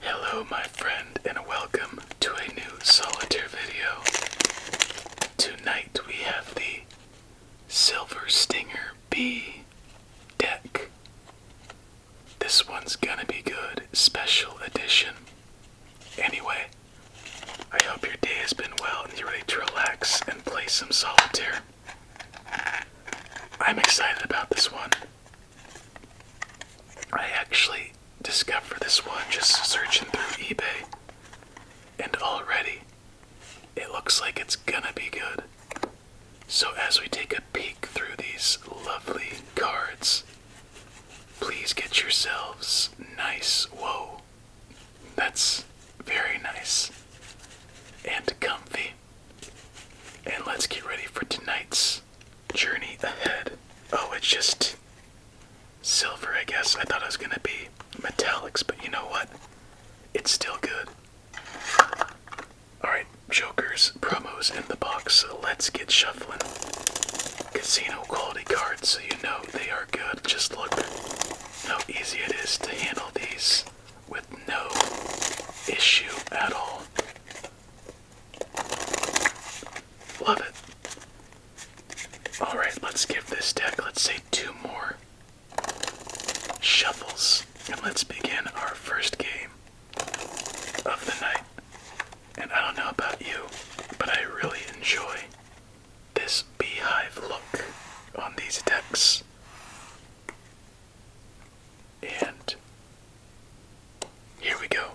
Hello, my friend, and welcome to a new solitaire video. Tonight we have the Silver Stinger Bee deck. This one's gonna be good, special edition. Anyway, I hope your day has been well and you're ready to relax and play some solitaire. I'm excited about this one. I actually discovered this one just searching through eBay, and already it looks like it's gonna be good. So, as we take a peek through these lovely cards, please get yourselves nice. Whoa, that's very nice and comfy. And let's get ready for tonight's journey ahead. Oh, it's just silver, I guess. I thought it was going to be metallics, but you know what? It's still good. Alright, Joker's promos in the box, so let's get shuffling. Casino quality cards, so you know they are good. Just look how easy it is to handle these with no issue at all. Love it. Alright, let's give this deck, let's say, two more shuffles, and let's begin our first game of the night. And I don't know about you, but I really enjoy this beehive look on these decks. And here we go.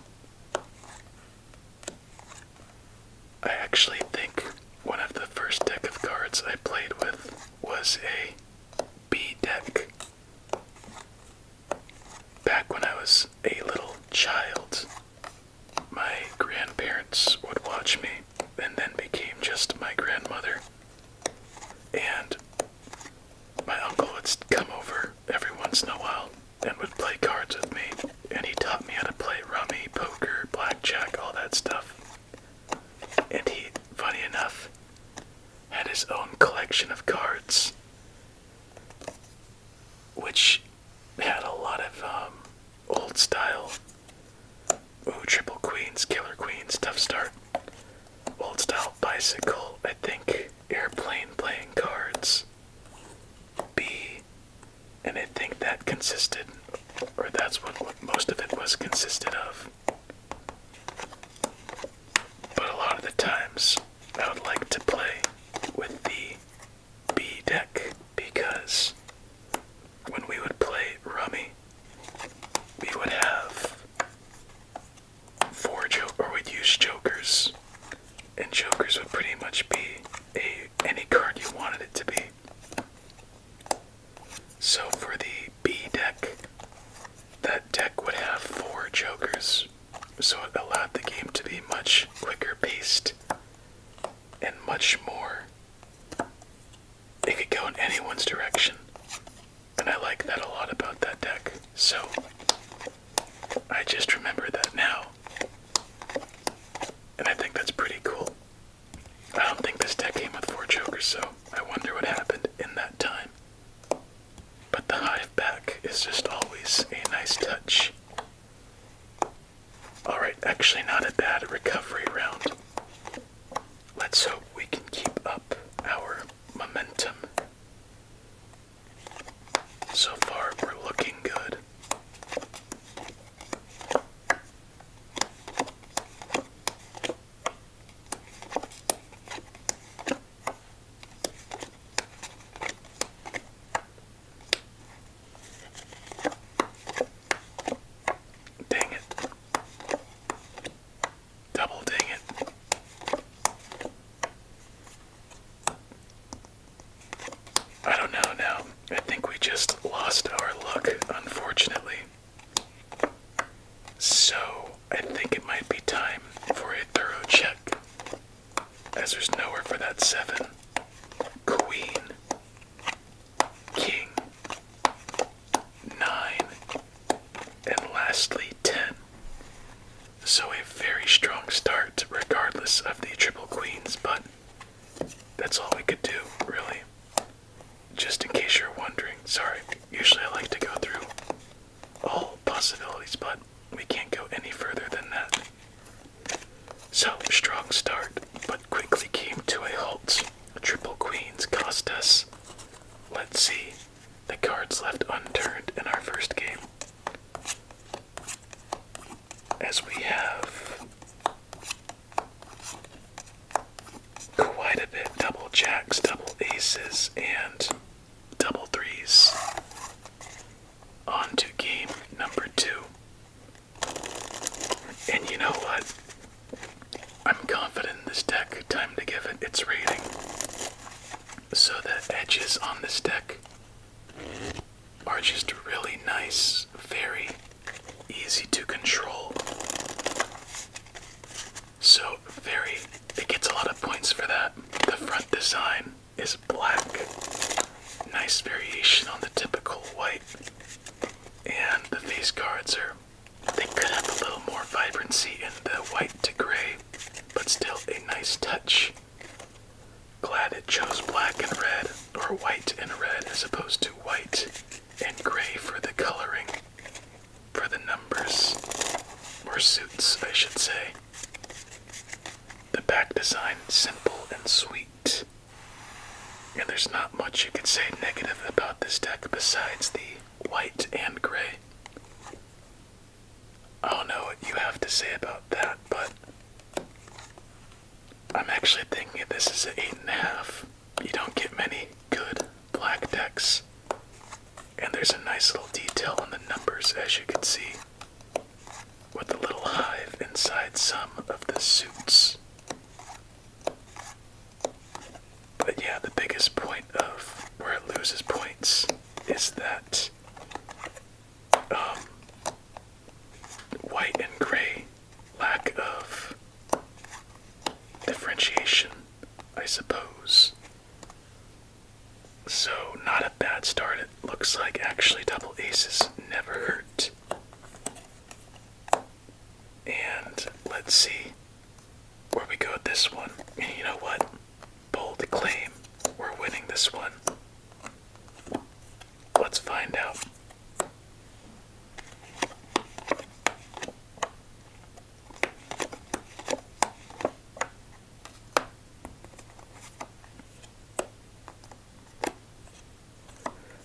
I actually think one of the first deck of cards I played with was a B deck. Back when I was a little child, my grandparents would watch me and then became just my grandmother. And my uncle would come over every once in a while and would play cards with me, and he taught me how to play rummy, poker, blackjack, all that stuff. And he, funny enough, had his own collection of cards, which had a lot of um, old style. Ooh, triple queens, killer queens, tough start old style bicycle, I think airplane playing cards, B, and I think that consisted, or that's what, what most of it was consisted of. But a lot of the times, I would like to play with the B deck because when we would play rummy, we would have four joke or would use jokers, and jokers would pretty much be a any card you wanted it to be. So for the B deck, that deck would have four jokers, so it allowed the game to be much quicker paced and much more it could go in anyone's direction. And I like that a lot about that deck. So I just remember that now. And I think that's pretty cool. I don't think this deck came with four jokers, so I wonder what happened in that time. But the hive back is just always a nice touch. Alright, actually not a bad recovery round. Let's hope we can keep up our momentum. So far, we're looking good. Dang it. Double dang it. I don't know now. I think we just lost our luck, unfortunately. So, I think it might be time for a thorough check, as there's nowhere for that seven. Queen, King, 9, and lastly 10. So a very strong start, regardless of the triple queens, but that's all we could do, really. Just in case you're wondering, sorry, usually I like to go through all possibilities, but we can't go any further than that. So, strong start, but quickly came to a halt. Triple queens cost us, let's see, the cards left unturned in our first game. As we have quite a bit double jacks, double aces, and double threes. On to game number two. And you know what? I'm confident in this deck. Time to give it its rating. So the edges on this deck are just really nice, very easy to control. So very it gets a lot of points for that. The front design is black. Nice variation on the typical white. And the face cards are they could have a little more vibrancy in the white to gray, but still a nice touch. Glad it chose black and red, or white and red, as opposed to white and gray for the coloring, for the numbers, or suits, I should say. The back design, simple and sweet. And there's not much you could say negative about this deck besides the white and gray. I don't know what you have to say about that, but I'm actually thinking this is an eight and a half. You don't get many good black decks. And there's a nice little detail on the numbers as you can see. With a little hive inside some of the suits. But yeah, the biggest point of where it loses points is that um, white and gray lack of differentiation, I suppose. So, not a bad start. It looks like actually double aces never hurt. And let's see where we go with this one. you know what? Bold claim. We're winning this one. Let's find out.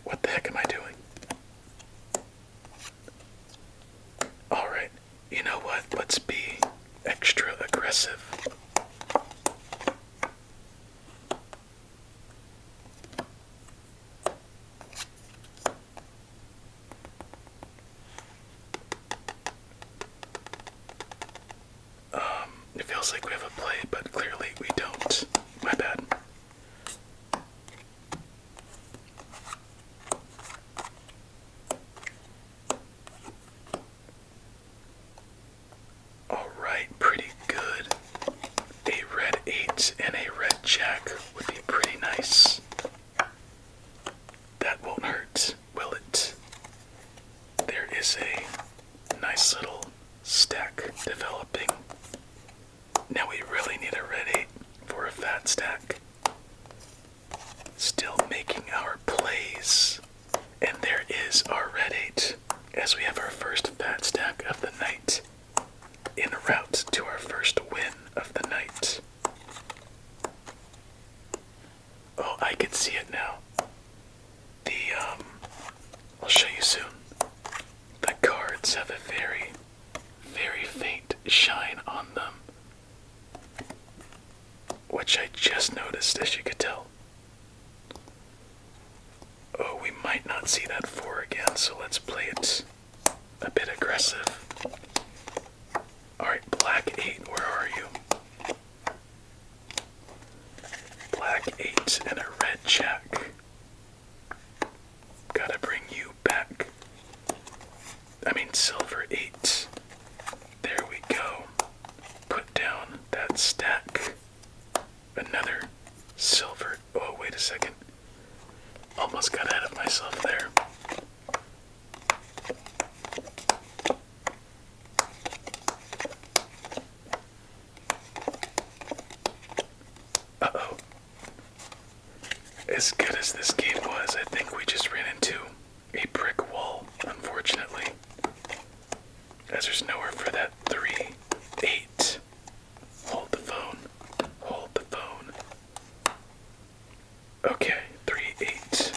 What the heck am I doing? All right you know what? Let's be extra aggressive. Um, it feels like we have a play, but clearly we don't. My bad. All right, pretty good. A red 8 and a red jack would be pretty nice. That won't hurt, will it? There is a nice little stack developing. Now we really need a red 8 for a fat stack. Still making our plays. And there is our red 8 as we have our first fat stack of the night. In route to our first win of the night. Oh, I can see it now. The, um, I'll show you soon. The cards have a very very faint shine on them, which I just noticed, as you could tell. Oh, we might not see that four again, so let's play it a bit aggressive. Alright, black eight, where are you? Black eight and a red jack. Gotta bring you back. I mean, silver eight. There we go. Put down that stack. Another silver. Oh, wait a second. Almost got ahead of myself there. Uh oh, as good as this game was, I think we just ran into a brick wall, unfortunately. As there's nowhere for that 3 8. Hold the phone. Hold the phone. Okay, 3 8.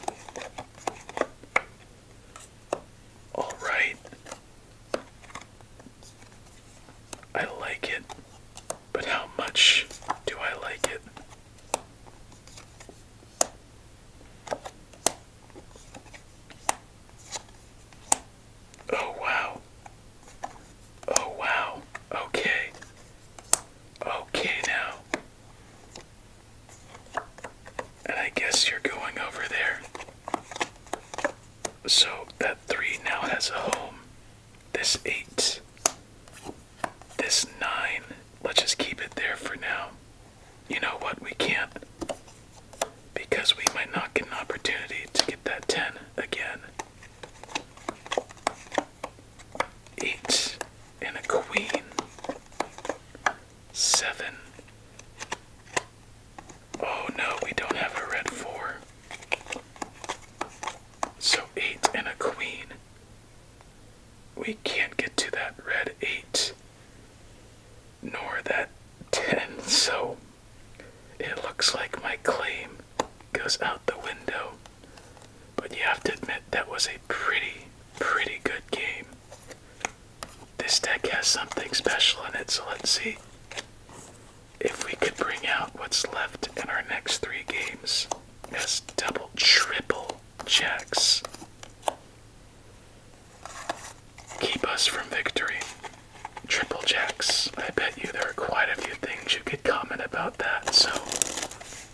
Alright. I like it. But how much do I like it? Oh, wow. Oh, wow. Okay. Okay, now. And I guess you're going over there. So that three now has a home this 8, this 9. Let's just keep it there for now. You know what? We can't because we might not get an opportunity to get that 10 again. 8 and a queen. 7. Oh no, we don't have a red 4. So eight and a queen. We can't get to that red eight nor that ten, so it looks like my claim goes out the window. But you have to admit that was a pretty, pretty good game. This deck has something special in it, so let's see if we could bring out what's left in our next three games as double, triple checks, keep us from victory. Triple jacks. I bet you there are quite a few things you could comment about that, so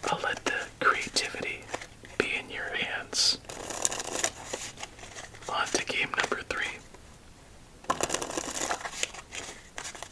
I'll let the creativity be in your hands. On to game number three.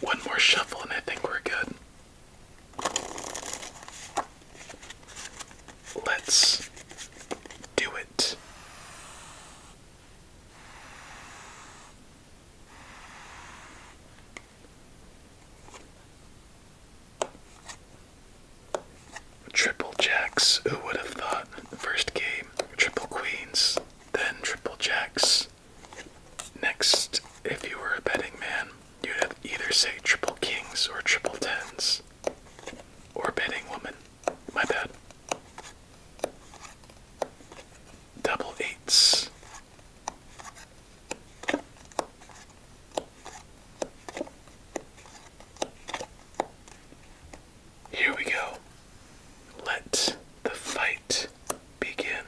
one more shuffle, and I think we're good. Let's do it. Triple jacks. Who would have thought? First game, triple queens, then triple jacks. Next, if you were a betting man, you'd either say triple kings or triple tens. Or betting woman. My bad. Double eights. Here we go. Let the fight begin.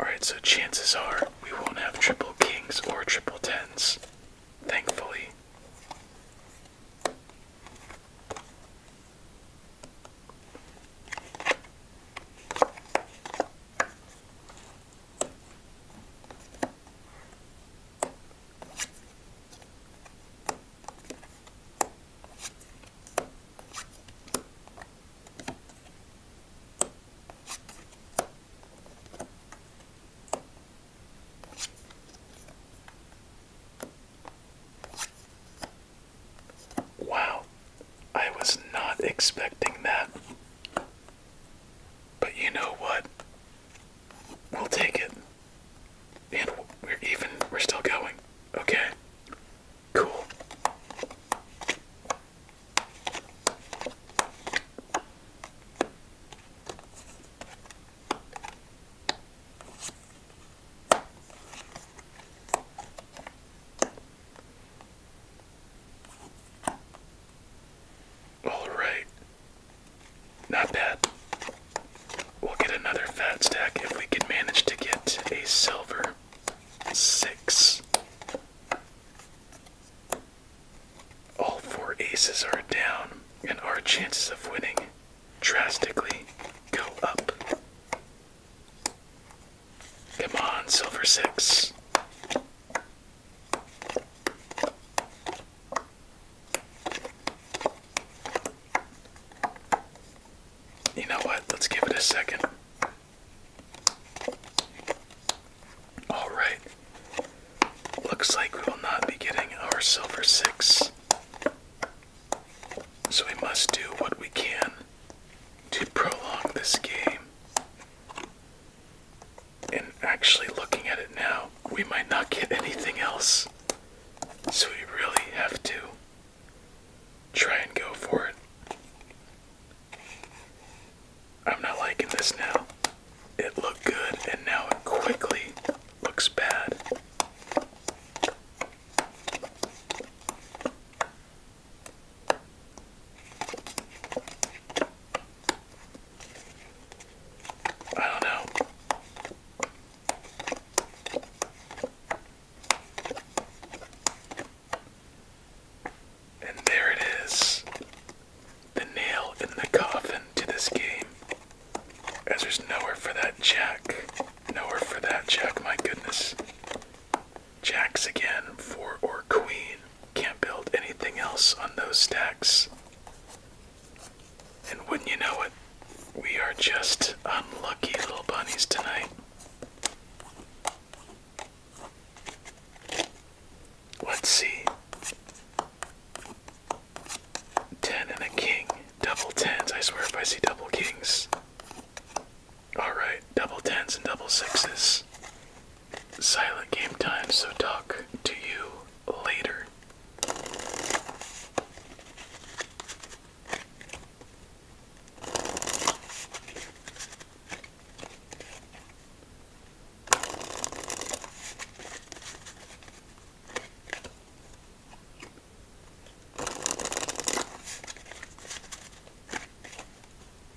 Alright, so chances are we won't have triple kings or triple tens, thankfully. Wow, I was not expecting that. But you know what? We'll take it. And we're even, we're still going. Okay. Cool. Alright. Not bad. We'll get another fat stack if we can manage to get a silver six. All four aces are down, and our chances of winning drastically go up. Come on, silver six. You know what? Let's give it a second. All right. Looks like we will not be getting our silver six. So we must do what we can to prolong this game. And actually, looking at it now, we might not get anything else. So we really have to try and go for it. I'm not liking this now. It looked good, and now it quickly looks bad. I don't know. And there it is. The nail in the coffin to this game. As there's nowhere for that jack. Nowhere for that jack, my goodness. Jacks again, four or queen. Can't build anything else on those stacks. And wouldn't you know it, we are just unlucky little bunnies tonight. Let's see. Ten and a king. Double tens. I swear if I see double kings. Alright, double tens and double sixes silent game time, so talk to you later.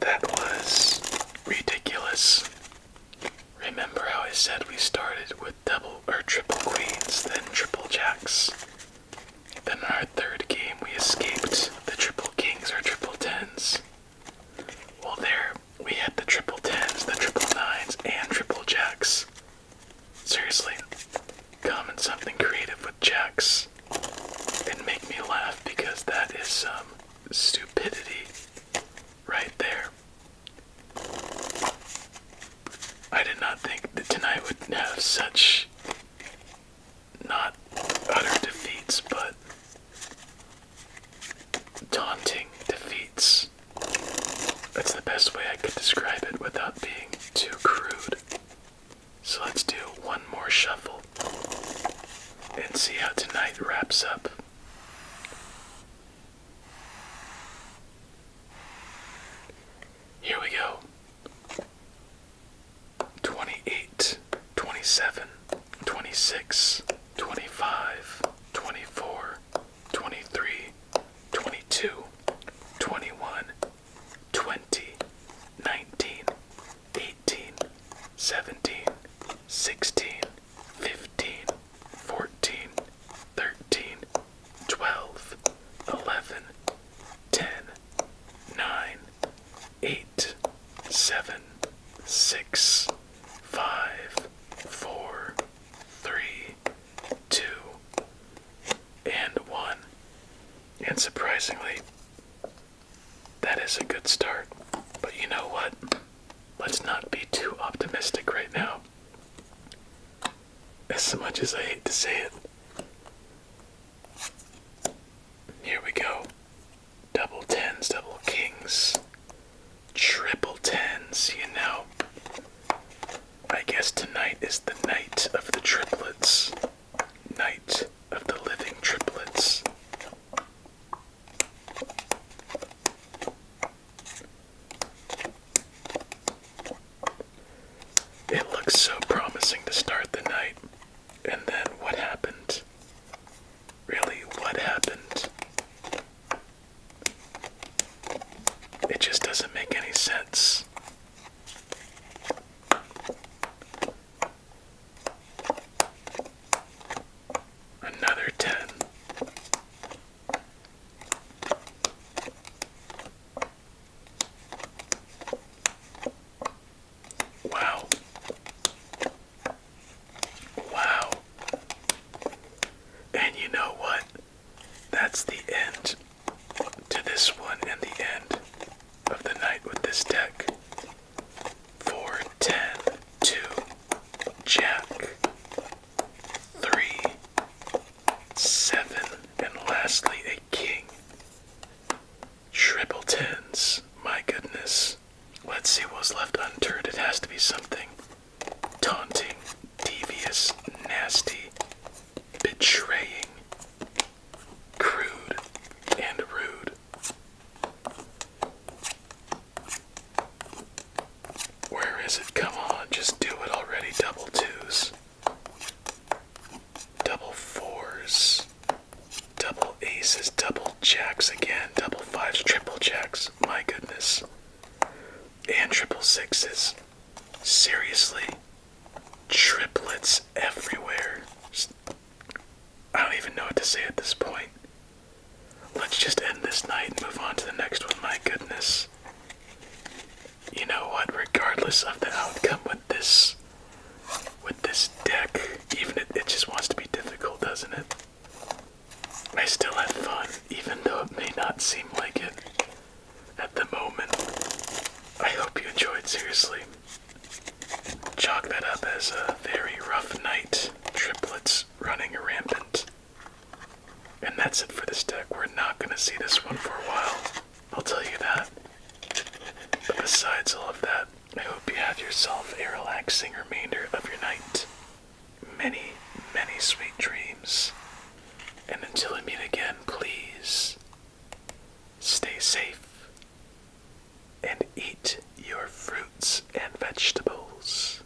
That was ridiculous. Remember how I said we started with double or triple queens, then triple jacks? Then in our third game, we escaped the triple kings or triple tens. Well, there we had the triple tens, the triple nines, and triple jacks. Seriously, come comment something creative with jacks and make me laugh because that is some stupidity right there. I did not think that tonight would have such not utter defeats, but Daunting defeats. That's the best way I could describe it without being too crude. So let's do one more shuffle and see how tonight wraps up. Here we go 28, 23, 22, 21, 20, 19, 18, 17, 16, 15, 14, 13, 12, 11, 10, 9, 8, 7, 6, 5, 4, three, two, and one. And surprisingly, that is a good start. But you know what? Let's not be too optimistic right now. As much as I hate to say it. Here we go. Double tens, double kings, triple tens, you know. I guess tonight is the night of the triplets. Night of the living triplets. It looks so promising to start the night. And then what happened? Really, what happened? It just doesn't make any sense. Another 10. Wow. Wow. And you know what? That's the end to this one and the end of the night with this deck. 4 10 2 Jack 3 7 and lastly a king. Triple tens. My goodness. Let's see what's left unturned. It has to be something taunting, devious, nasty, betraying, crude, and rude. Where is it? Come on, just do it already. Double twos, double fours, double aces, double jacks again, double fives, triple jacks. My goodness and triple sixes. Seriously, triplets everywhere. I don't even know what to say at this point. Let's just end this night and move on to the next one. My goodness. You know what? Regardless of the outcome with this with this deck, even it, just wants to be difficult, doesn't it? I still have fun, even though it may not seem like it at the moment. I hope you enjoyed, seriously. Chalk that up as a very rough night. Triplets running rampant. And that's it for this deck. We're not going to see this one for a while. I'll tell you that. But besides all of that, I hope you have yourself a relaxing remainder of your night many, many sweet dreams. And until we meet again, please stay safe and eat your fruits and vegetables.